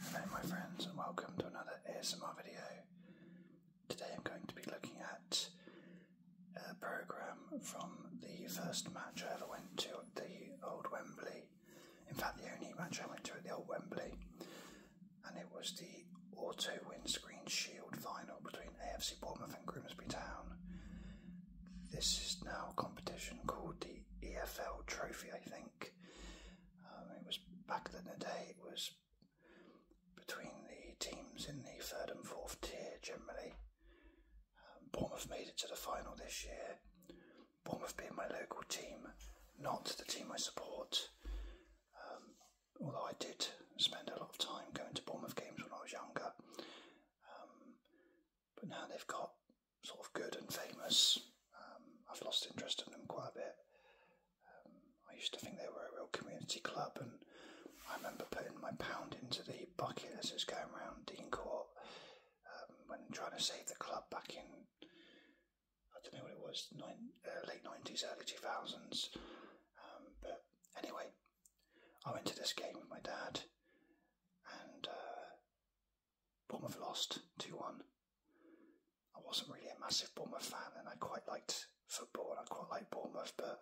Hello my friends and welcome to another ASMR video. Today I'm going to be looking at a programme from the first match I ever went to at the Old Wembley. In fact the only match I went to at the Old Wembley and it was the Auto Windscreen Shield final between AFC Bournemouth and Grimsby Town. This is now a competition called the EFL Trophy I think. Um, it was back in the day. It was between the teams in the third and fourth tier generally. Um, Bournemouth made it to the final this year. Bournemouth being my local team, not the team I support. Um, although I did spend a lot of time going to Bournemouth games when I was younger. Um, but now they've got sort of good and famous. Um, I've lost interest in them quite a bit. Um, I used to think they were a real community club, and I remember putting my pound into the bucket as it was going around Dean Court um, when trying to save the club back in, I don't know what it was, nine, uh, late 90s, early 2000s. but anyway, I went to this game with my dad, and uh, Bournemouth lost 2 1. I wasn't really a massive Bournemouth fan and I quite liked football and I quite liked Bournemouth, but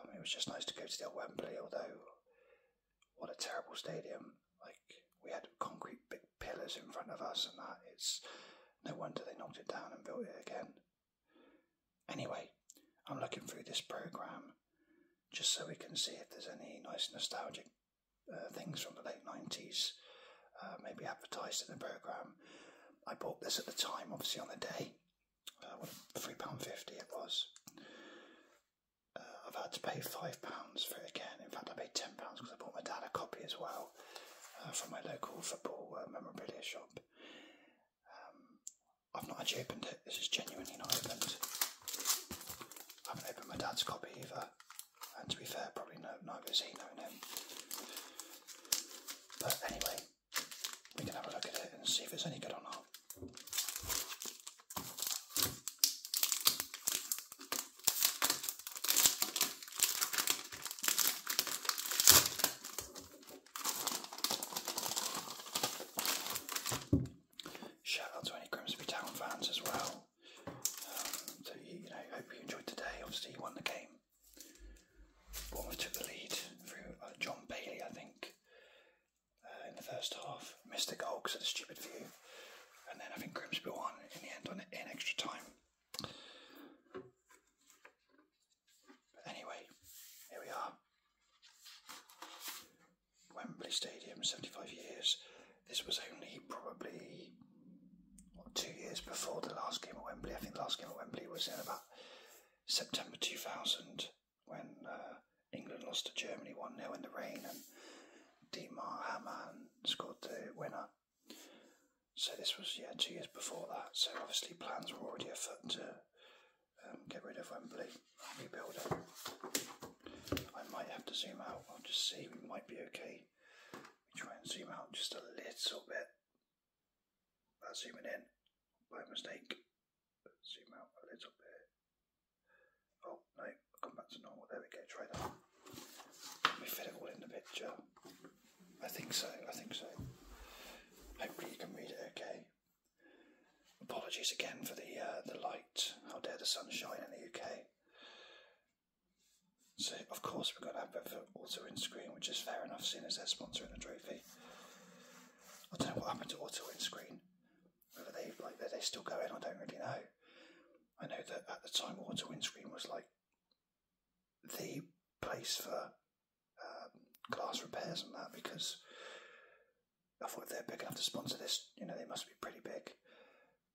um, it was just nice to go to the Wembley, although what a terrible stadium. Like, we had concrete big pillars in front of us and that. It's no wonder they knocked it down and built it again. Anyway, I'm looking through this programme just so we can see if there's any nice nostalgic uh, things from the late 90s, uh, maybe advertised in the programme. I bought this at the time, obviously on the day. Uh, £3.50 it was. I've had to pay £5 for it again. In fact, I paid £10 because I bought my dad a copy as well from my local football memorabilia shop. Um, I've not actually opened it, this is genuinely not opened. I haven't opened my dad's copy either. And to be fair, probably no neither is he knowing him. But anyway, we can have a look at it and see if it's any good or not. Shout out to any Grimsby Town fans as well. Um, so you, you know, hope you enjoyed today. Obviously, you won the game. Bournemouth took the lead through uh, John Bailey, I think, uh, in the first half. Missed a goal because of stupid view, and then I think Grimsby won in the end on in extra time. But anyway, here we are. Wembley Stadium, 75 years. This was only probably two years before the last game at Wembley. I think the last game at Wembley was in about September 2000 when uh, England lost to Germany 1 0 in the rain and Demar Hamann scored the winner. So this was yeah two years before that. So obviously plans were already afoot to um, get rid of Wembley, rebuild it. I might have to zoom out. I'll just see. might be okay. try and zoom out just a little bit. That's zooming in by mistake. zoom out a little bit. Oh no, come back to normal. There we go. Try that. Can we fit it all in the picture? I think so. I think so. Hopefully you can read it okay. Apologies again for the uh, the light. How dare the sun shine in the UK? So, of course, we've got an advert for Auto Windscreen, which is fair enough, seeing as they're sponsoring the trophy. I don't know what happened to Auto Windscreen. Whether they like are still going, I don't really know. I know that at the time, Auto Windscreen was like the place for um, glass repairs and that because I thought they're big enough to sponsor this, you know, they must be pretty big.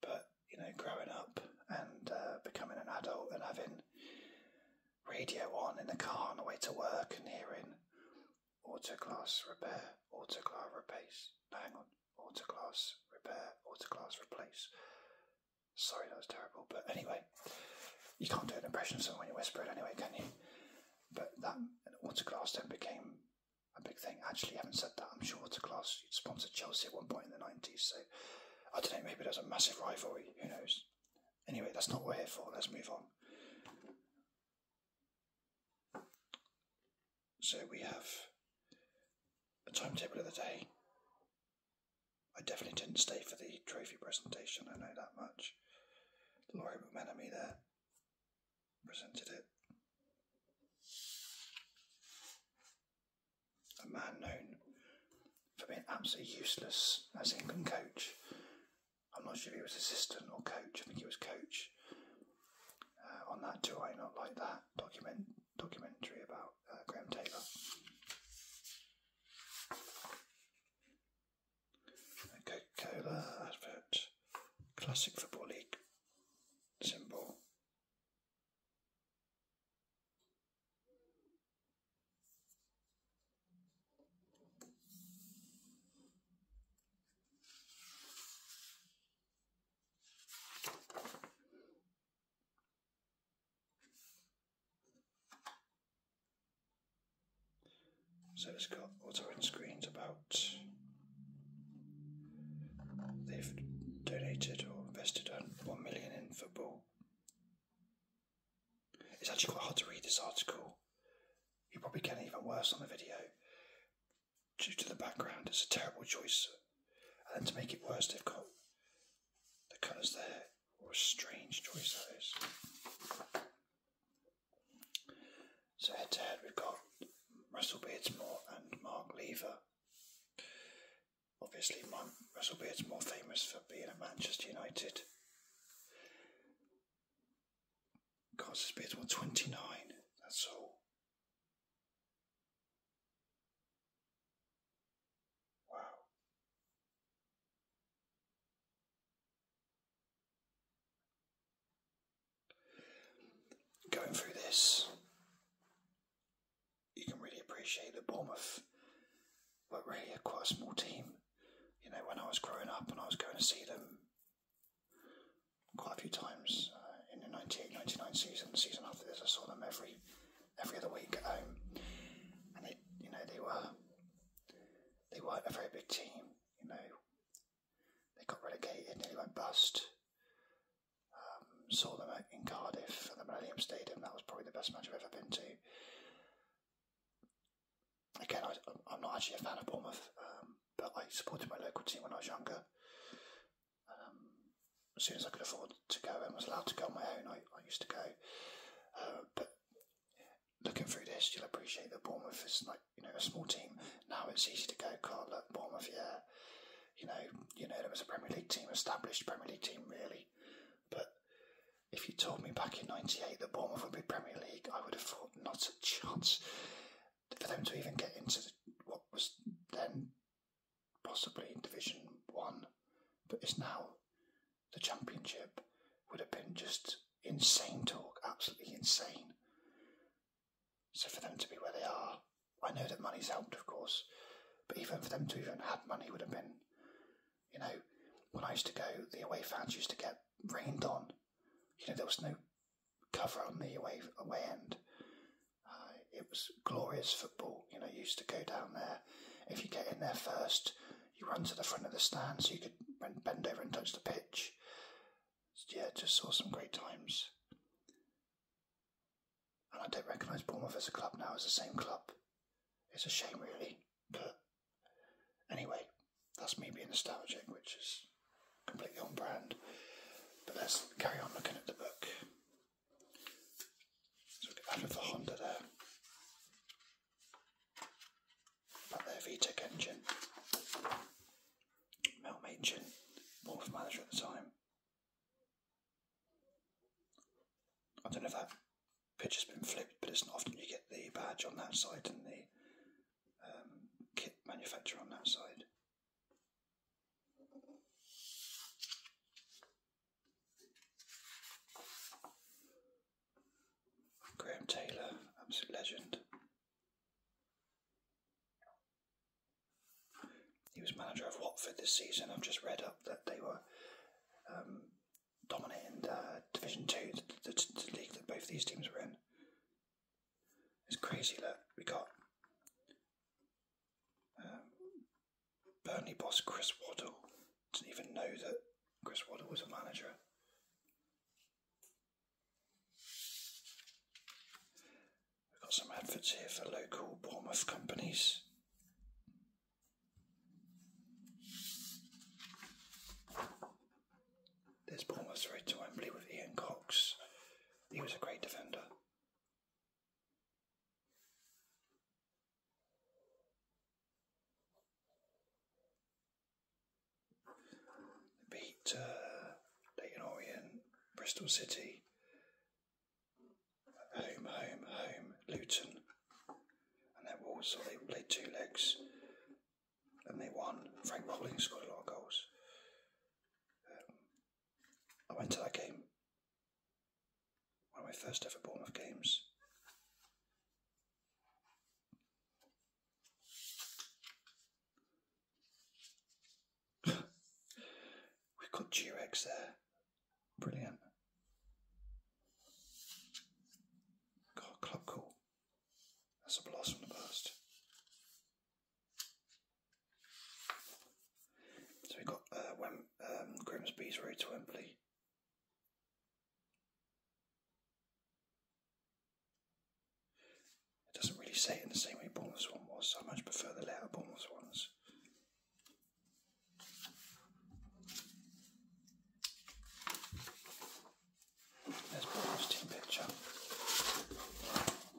But you know, growing up and uh, becoming an adult and having radio on in the car on the way to work and hearing autoclass repair, autoclass replace. hang on, autoclass repair, autoclass replace. Sorry, that was terrible. But anyway, you can't do an impression so when you whisper it anyway, can you? But that autoclass then became a big thing. Actually, having said that, I'm sure a Waterclass sponsored Chelsea at one point in the 90s, so I don't know, maybe there's a massive rivalry, who knows. Anyway, that's not what we're here for, let's move on. So we have a timetable of the day. I definitely didn't stay for the trophy presentation, I know that much. Laurie McMenemy there presented it a man known for being absolutely useless as England coach. I'm not sure if he was assistant or coach. I think he was coach uh, on that Do I Not Like That document documentary about uh, Graham Taylor. Coca-Cola advert, classic football league symbol, so it's got auto end screens about They've donated or invested one million in football. It's actually quite hard to read this article. You probably can even worse on the video. Due to the background, it's a terrible choice. And to make it worse, they've got the colours there. What a strange choice that is. So head to head, we've got Russell Beardsmore and Mark Lever. Obviously, Mon- Russell Beard's more famous for being a Manchester United. Carter's Beard's won 29, that's all. Wow. Going through this, you can really appreciate that Bournemouth were really a quite small team. You know, when I was growing up and I was going to see them quite a few times uh, in the 98 season, season after this, I saw them every every other week at home. And it, you know, they were they weren't a very big team. You know, they got relegated, nearly went bust. Um, saw them in Cardiff at the Millennium Stadium. That was probably the best match I've ever been to. Again, I, am not actually a fan of Bournemouth, um, but I supported my local team when I was younger. Um, as soon as I could afford to go and was allowed to go on my own, I, used to go. Uh, but looking through this, you'll appreciate that Bournemouth is like you know a small team. Now it's easy to go, can't look, Bournemouth, yeah, you know, you know there was a Premier League team established, Premier League team really. But if you told me back in '98 that Bournemouth would be Premier League, I would have thought not a chance for them to even get into what was then possibly Division One, but it's now the Championship. Would have been just insane talk, absolutely insane. So for them to be where they are, I know that money's helped, of course, but even for them to even have money would have been, you know, when I used to go, the away fans used to get rained on. You know, there was no cover on the away away end. Uh, it was glorious football. You know, used to go down there. If you get in there first, you run to the front of the stand so you could bend over and touch the pitch. yeah, just saw some great times and I don't recognise Bournemouth as a club now as the same club. It's a shame, really, but anyway, that's me being nostalgic, which is completely on brand. But let's carry on looking at the book. So we'll get rid of the Honda there. Back there, VTEC engine. Mel Machin, Bournemouth manager at the time. I don't know if that pitch has been flipped, but it's not often you get the badge on that side and the um, kit manufacturer on that side. Graham Taylor, absolute legend. He was manager of Watford this season. I've just read up that they were um, dominating Division Two, the, league that both these teams were in. It's crazy. Look, we got um, Burnley boss Chris Waddle. Didn't even know that Chris Waddle was a manager. We've got some adverts here for local Bournemouth companies. There's Bournemouth's through to Wembley with Ian Cox. He was a great defender. beat uh, Bristol City, Home, home, home, Luton. And they also, they played two legs and they won. Frank Bowling scored a lot of goals. Um, I went to that game, one of my first ever Bournemouth games. We've got Durex there. Brilliant. God, club cool. That's a blast from the past. So we've got uh, um, Grimsby's Road to Wembley. It doesn't really say it in the same way Bournemouth's one was. I much prefer the later Bournemouth's ones. Let's put this team picture.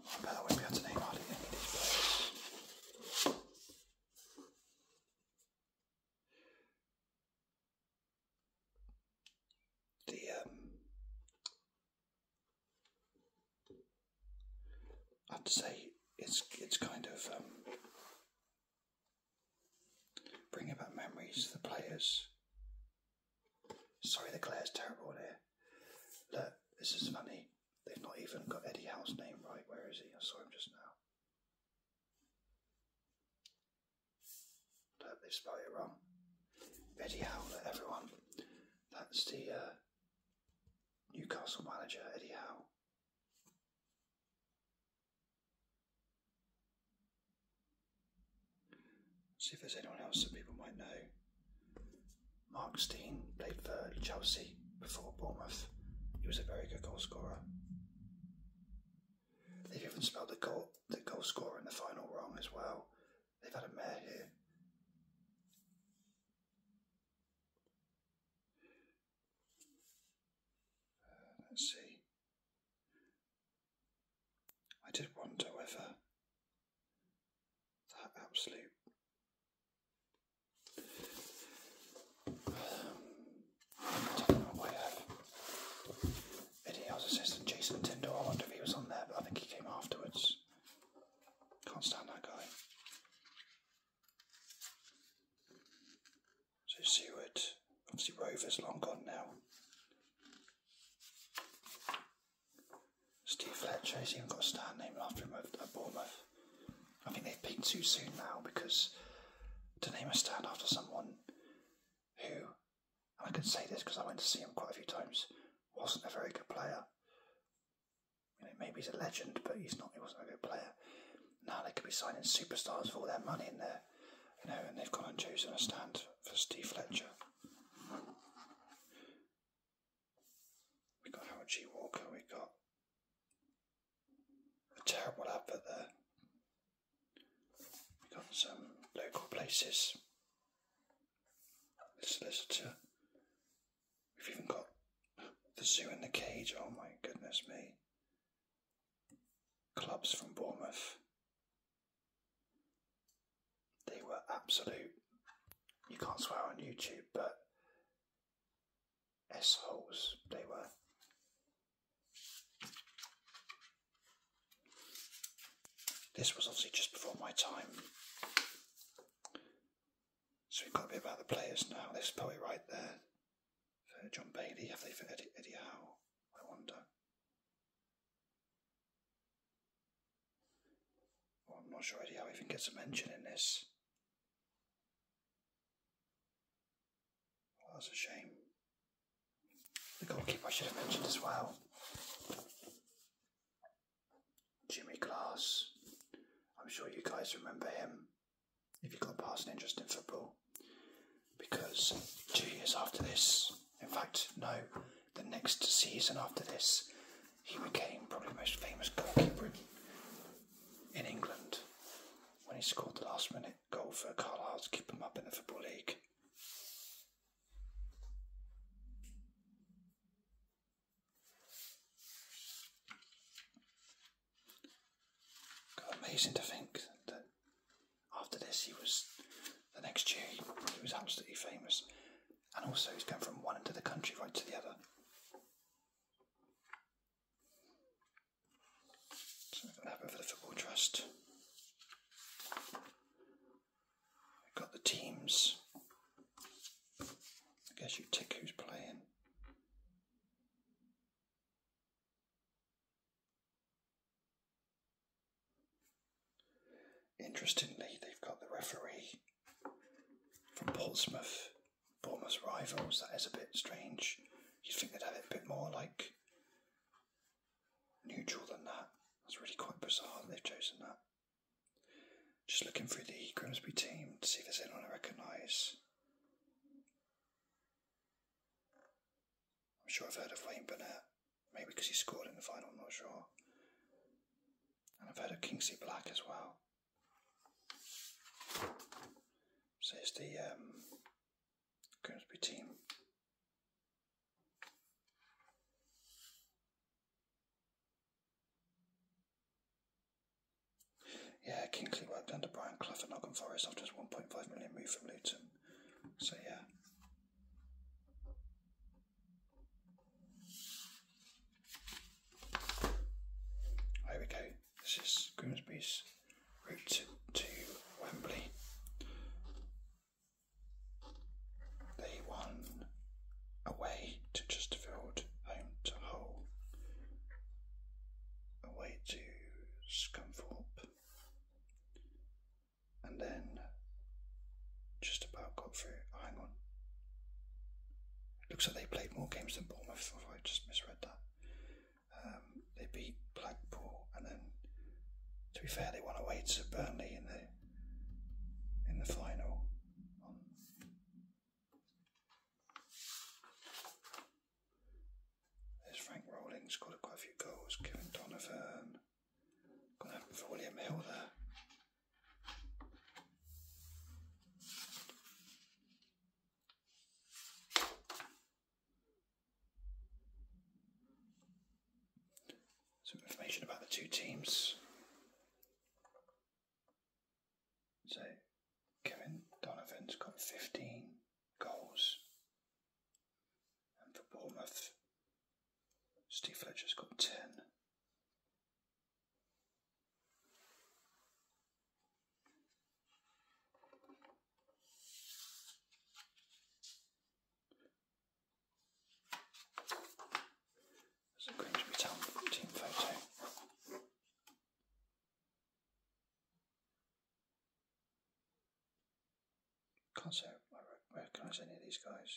I bet I won't be able to name any of these The um, I'd say it's it's kind of um, bringing back memories for the players. Sorry, the glare is terrible here. Look, this is funny. They've not even got Eddie Howe's name right. Where is he? I saw him just now. I Look, they've spelled it wrong. Eddie Howe, everyone. That's the uh, Newcastle manager Eddie Howe. See if there's anyone else that people might know. Mark Steen played for Chelsea before Bournemouth. He was a very good goal scorer. They've even spelled the goal the goal scorer in the final wrong as well. They've had a mare here let's see. I did wonder whether that absolute um, I Eddie House assistant Jason Tindall. I wonder if he was on there, I think he came afterwards. Can't stand that guy. So Seward, obviously Rover's long gone now. Steve Fletcher, he's even got a star named after him at Bournemouth. I think they've been too soon now because to name a stand after someone who, and I can say this because I went to see him quite a few times, wasn't a very good player, you know, maybe he's a legend, but he's not. He wasn't a good player. Now they could be signing superstars for all their money in there, you know, and they've gone and chosen a stand for Steve Fletcher. We got Howard G. Walker. We got a terrible advert there. We got some local places. The solicitor. We've even got the zoo in the cage. Oh my goodness me. Clubs from Bournemouth. They were absolute. You can't swear on YouTube, but S holes they were. This was obviously just before my time. So we've got a bit about the players now. This poet right there uh, John Bailey. Have they for Eddie, Eddie Howe? I wonder. I'm not sure Eddie Howe even gets a mention in this. Well, that's a shame. The goalkeeper should have mentioned as well. Jimmy Glass. I'm sure you guys remember him if you got past an interest in football. Because two years after this, in fact, no, the next season after this, he became probably the most famous goalkeeper in England when he scored the last minute goal for Carlisle to keep him up in the Football League. Amazing to think that after this, he was the next year he, was absolutely famous, and also he's gone from one end of the country right to the other. So we're going to have the Football Trust. We've got the teams. I guess you tick who's playing. Interestingly, they've got the referee from Portsmouth, Bournemouth's rivals. That is a bit strange. You'd think they'd have a bit more like neutral than that. That's really quite bizarre that they've chosen that. Just looking through the Grimsby team to see if there's anyone I recognise. I'm sure I've heard of Wayne Burnett, maybe because he scored in the final, I'm not sure. And I've heard of Kingsley Black as well. So it's the um, Grimsby team. Yeah, Kinkley worked under Brian Clough at Nottingham Forest after his 1.5 million move from Luton. So, yeah. There we go. This is Grimsby's route to Wembley. They won away to Chesterfield, home to Hull, away to Scunthorpe, and then just about got through. Hang on. Looks like they played more games than Bournemouth, if I just misread that. Um, they beat Blackpool, and then, to be fair, they won away to Burnley in the in the final. There's Frank Rowling scored quite a few goals. Kevin Donovan. Got that for William Hill there. Some information about the two teams. So Kevin Donovan's got 15 goals. And for Bournemouth, Steve Fletcher's got 10. That's a Grimsby Town team photo. Can't say I recognise any of these guys.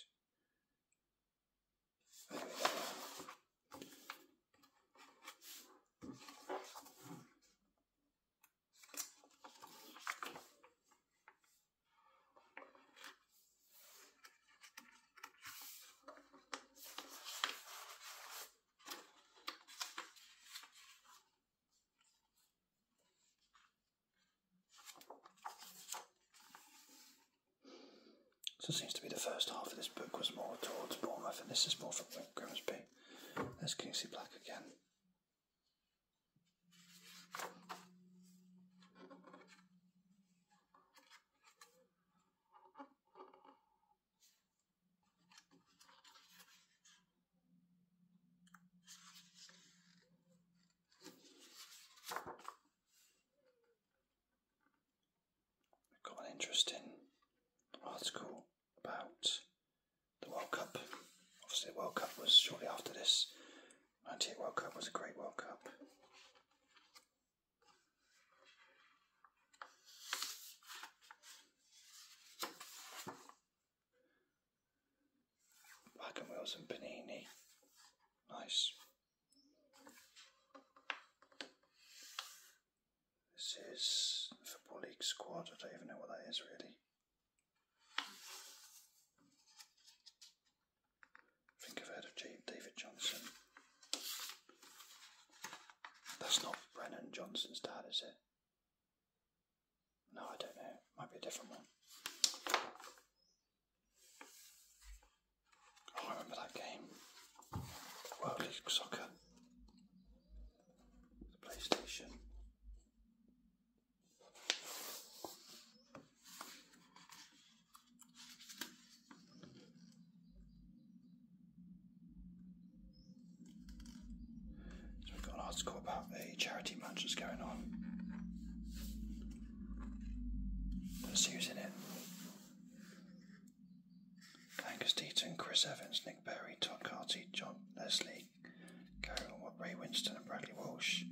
So it seems to be the first half of this book was more towards Bournemouth, and this is more for Grimsby. There's Kingsley Black again. We've got an interesting article about the World Cup. Obviously, the World Cup was shortly after this. 98 World Cup was a great World Cup. Black Wilson Panini. Nice. This is Football League squad. I don't even know what that is really. think I've heard of David Johnson. That's not Brennan Johnson's dad, is it? No, I don't know. Might be a different one. Oh, I remember that game. World League Soccer. PlayStation. So we've got an article about a charity match that's going on. Let's see who's in it. Angus Deaton, Chris Evans, Nick Berry, Tom Carty, John Leslie, Carol Ray Winston and Bradley Walsh.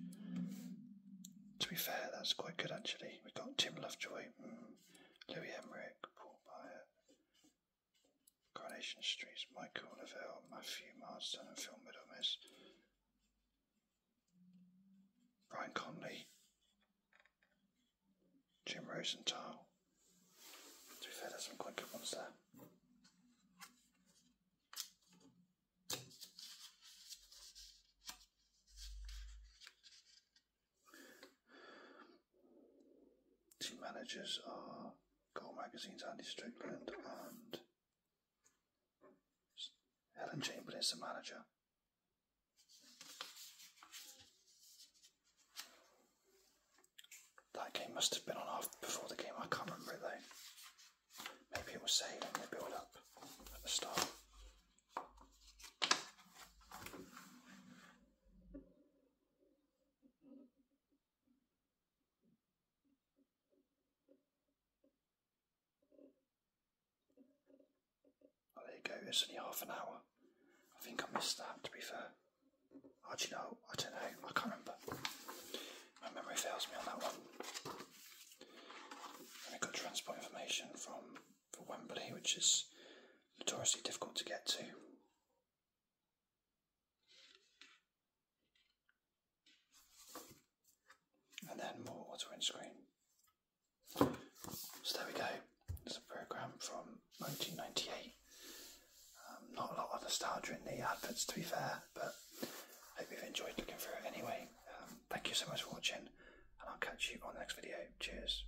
To be fair, that's quite good actually. We've got Tim Lovejoy, mm, Louis Emmerich, Paul Byer, Coronation Streets, Michael Neville, Matthew Marsden, and Phil Middlemas. Brian Conley, Jim Rosenthal. To be fair, there's some quite good ones there. Team managers are Goal Magazine's Andy Strickland and Helen Chamberlain is a manager. That game must have been on after, before the game, I can't remember it though. Maybe it was saved and they build up at the start. Oh, there you go, it's only half an hour. I think I missed that, to be fair. do Actually, know? I don't know, I can't remember. My memory fails me on that one. And got transport information from for Wembley, which is notoriously difficult to get to. And then more water windscreen. So there we go. It's a program from 1998. Um, not a lot of nostalgia in the adverts, to be fair, but I hope you've enjoyed looking through it anyway. Um, thank you so much for watching, and I'll catch you on the next video. Cheers.